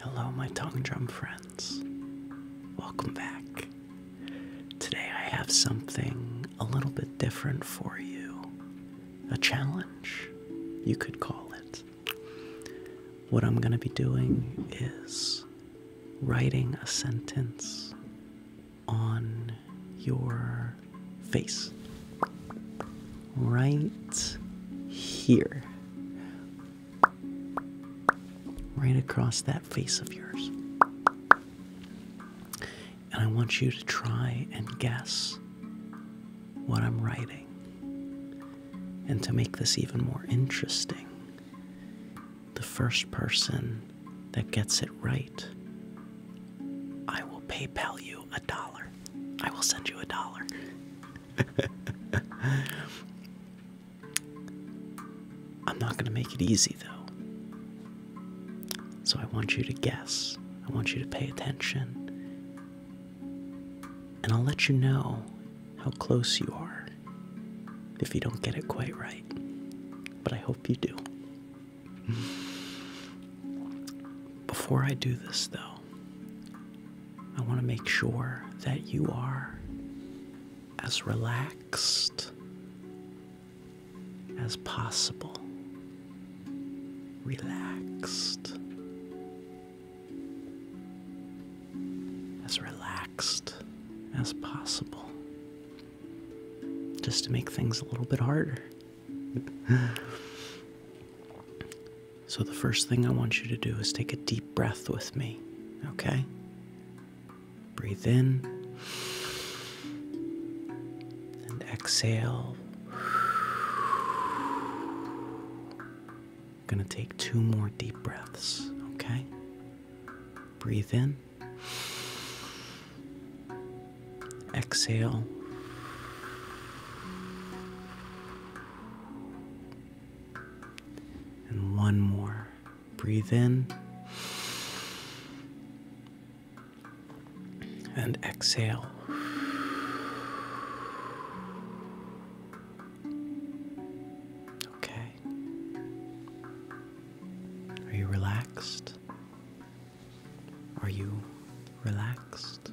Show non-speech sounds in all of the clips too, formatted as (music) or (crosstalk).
Hello, my tongue drum friends. Welcome back. Today I have something a little bit different for you. A challenge, you could call it. What I'm going to be doing is writing a sentence on your face. Right here right across that face of yours. And I want you to try and guess what I'm writing. And to make this even more interesting, the first person that gets it right, I will PayPal you a dollar. I will send you a dollar. (laughs) I'm not going to make it easy, though. So I want you to guess. I want you to pay attention. And I'll let you know how close you are if you don't get it quite right. But I hope you do. (laughs) Before I do this, though, I want to make sure that you are as relaxed as possible. Relaxed. As relaxed as possible. Just to make things a little bit harder. (laughs) So, the first thing I want you to do is take a deep breath with me, okay? Breathe in and exhale. gonna take two more deep breaths, okay? Breathe in, exhale. And one more. Breathe in. And exhale. Okay. Are you relaxed? Are you relaxed?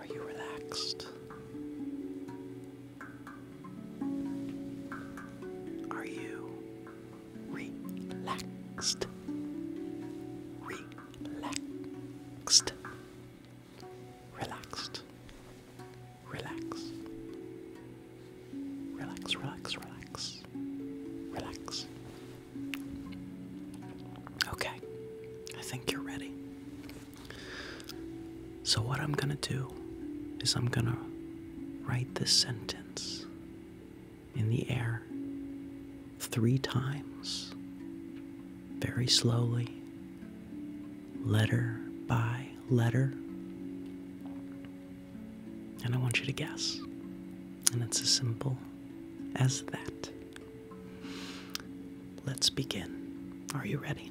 Are you relaxed? Are you relaxed? Relaxed. Relaxed. Relax. Relax, relax, relax. Relax. Okay. I think you're ready. So, what I'm gonna do is I'm gonna write this sentence in the air three times, very slowly, letter by letter. And I want you to guess. And it's as simple as that. Let's begin. Are you ready?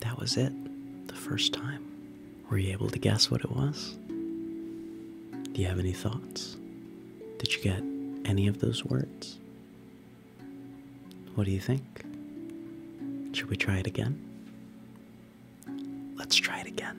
That was it, the first time. Were you able to guess what it was? Do you have any thoughts? Did you get any of those words? What do you think? Should we try it again? Let's try it again.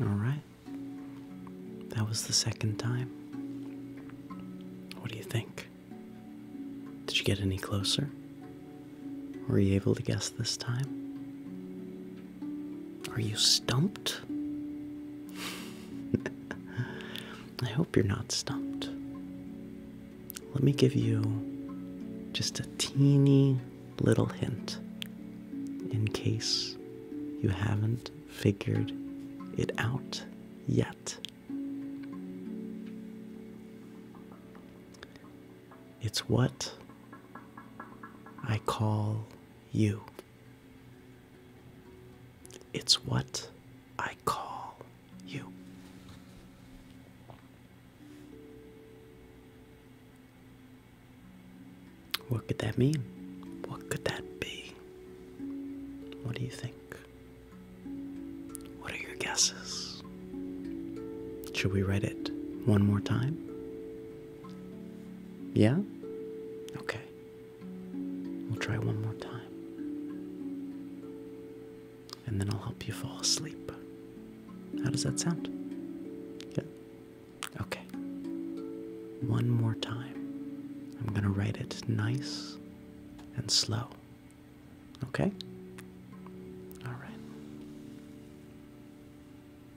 All right. That was the second time. What do you think? Did you get any closer? Were you able to guess this time? Are you stumped? (laughs) I hope you're not stumped. Let me give you just a teeny little hint in case you haven't figured it out yet. It's what I call you. It's what I call you. What could that mean? What could that be? What do you think? What are your guesses? Should we read it one more time? Yeah? Okay. We'll try one more time. And then I'll help you fall asleep. How does that sound? Yeah. Okay. One more time. I'm going to write it nice and slow. Okay? All right.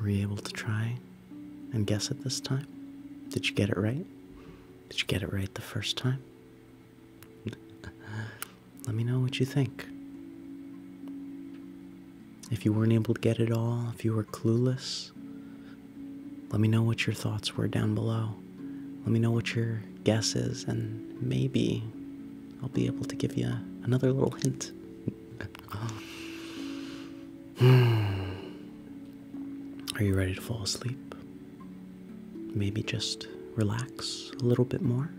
Were you able to try and guess it this time? Did you get it right? Did you get it right the first time? (laughs) Let me know what you think. If you weren't able to get it all, if you were clueless, let me know what your thoughts were down below. Let me know what your guess is, and maybe I'll be able to give you another little hint. (laughs) Hmm. Are you ready to fall asleep? Maybe just relax a little bit more?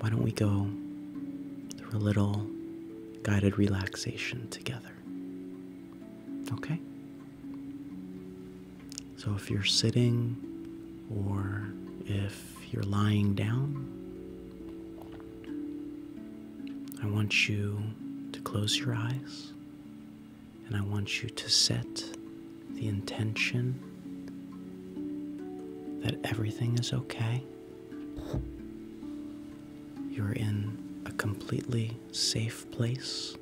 Why don't we go through a little guided relaxation together? Okay? So if you're sitting or if you're lying down, I want you to close your eyes and I want you to set the intention that everything is okay. You're in a completely safe place.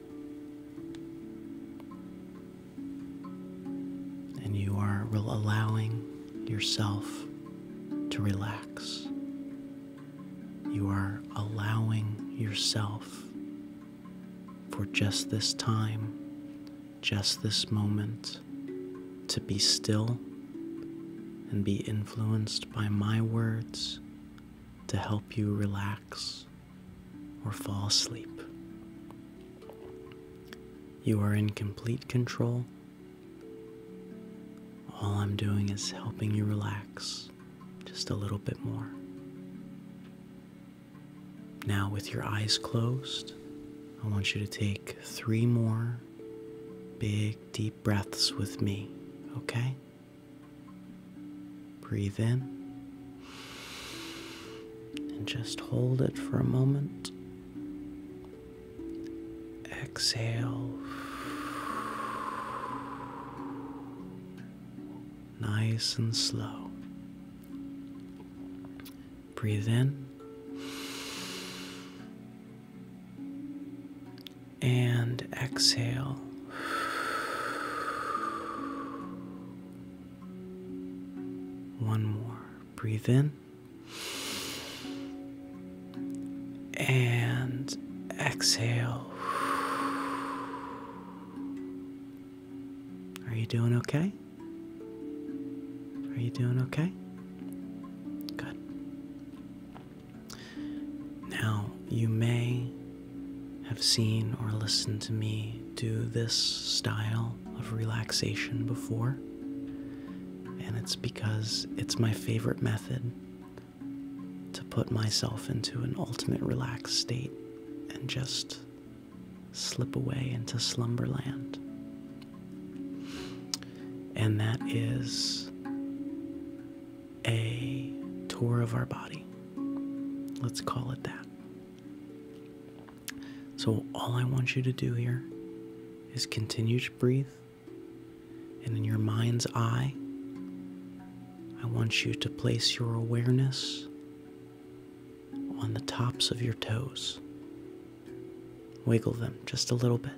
And you are allowing yourself to relax. You are allowing yourself for just this time, just this moment, to be still and be influenced by my words to help you relax or fall asleep. You are in complete control all I'm doing is helping you relax just a little bit more. Now, with your eyes closed, I want you to take three more big, deep breaths with me, okay? Breathe in and just hold it for a moment. Exhale. Nice and slow. Breathe in and exhale. One more. Breathe in and exhale. Are you doing okay? Are you doing okay? Good. Now, you may have seen or listened to me do this style of relaxation before, and it's because it's my favorite method to put myself into an ultimate relaxed state and just slip away into slumberland. And that is a tour of our body. Let's call it that. So, all I want you to do here is continue to breathe and in your mind's eye, I want you to place your awareness on the tops of your toes. Wiggle them just a little bit,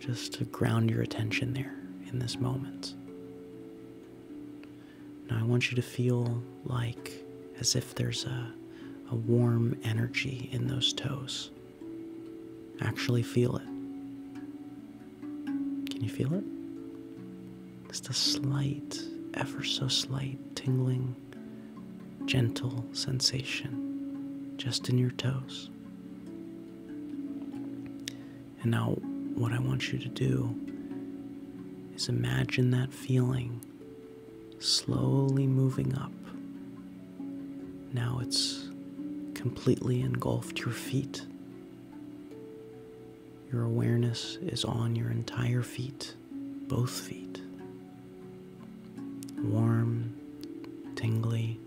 just to ground your attention there in this moment. Now, I want you to feel like as if there's a, warm energy in those toes. Actually feel it. Can you feel it? Just a slight, ever so slight, tingling, gentle sensation just in your toes. And now, what I want you to do is imagine that feeling slowly moving up now it's completely engulfed your feet. Your awareness is on your entire feet, both feet. Warm, tingly,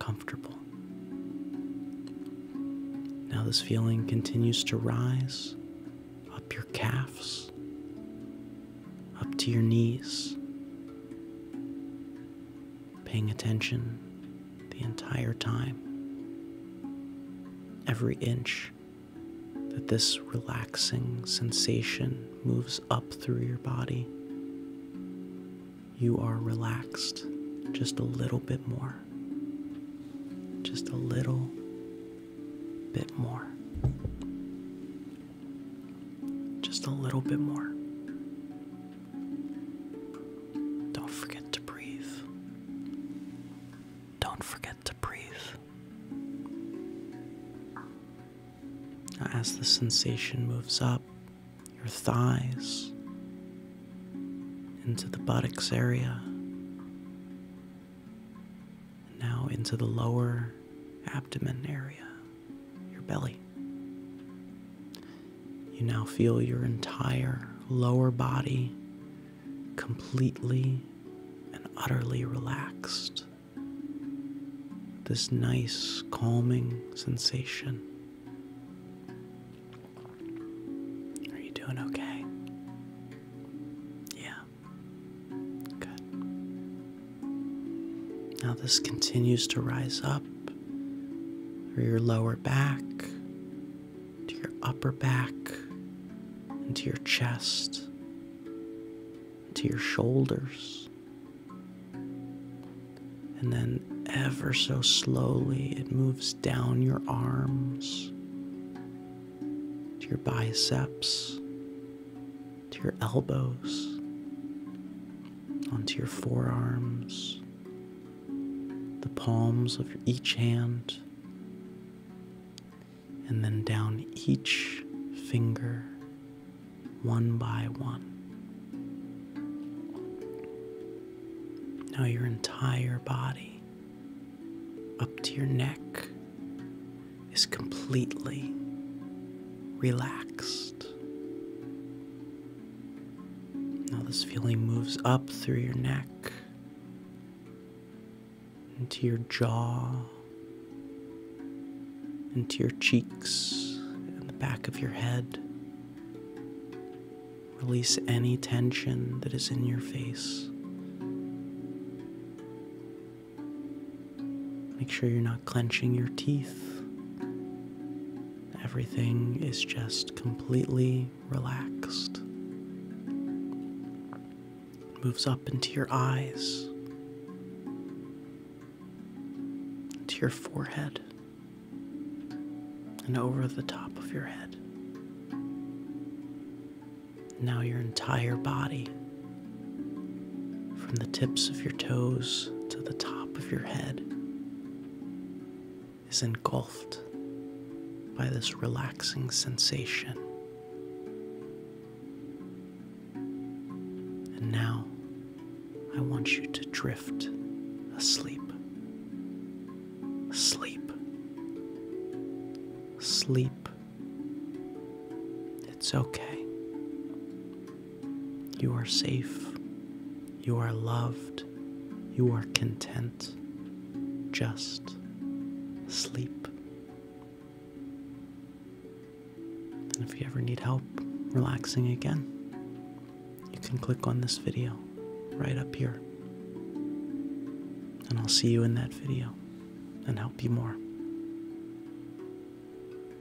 comfortable. Now this feeling continues to rise up your calves, up to your knees, paying attention the entire time, every inch that this relaxing sensation moves up through your body. You are relaxed just a little bit more, just a little bit more. Just a little bit more. Don't forget to breathe. Don't forget to breathe. as the sensation moves up your thighs into the buttocks area, now into the lower abdomen area your belly. You now feel your entire lower body completely and utterly relaxed. This nice, calming sensation. Are you doing okay? Yeah. Good. Now, this continues to rise up through your lower back, to your upper back, into your chest, to your shoulders. And then, ever so slowly, it moves down your arms, to your biceps, to your elbows, onto your forearms, the palms of each hand, and then down each finger one by one. Now your entire body up to your neck is completely relaxed. Now, this feeling moves up through your neck, into your jaw, into your cheeks, and the back of your head. Release any tension that is in your face. Make sure you're not clenching your teeth. Everything is just completely relaxed. moves up into your eyes, to your forehead, and over the top of your head. Now your entire body from the tips of your toes to the top of your head is engulfed by this relaxing sensation. And now I want you to drift asleep. Sleep. Sleep. It's okay. You are safe. You are loved. You are content. Just sleep. And if you ever need help relaxing again, you can click on this video right up here. And I'll see you in that video and help you more.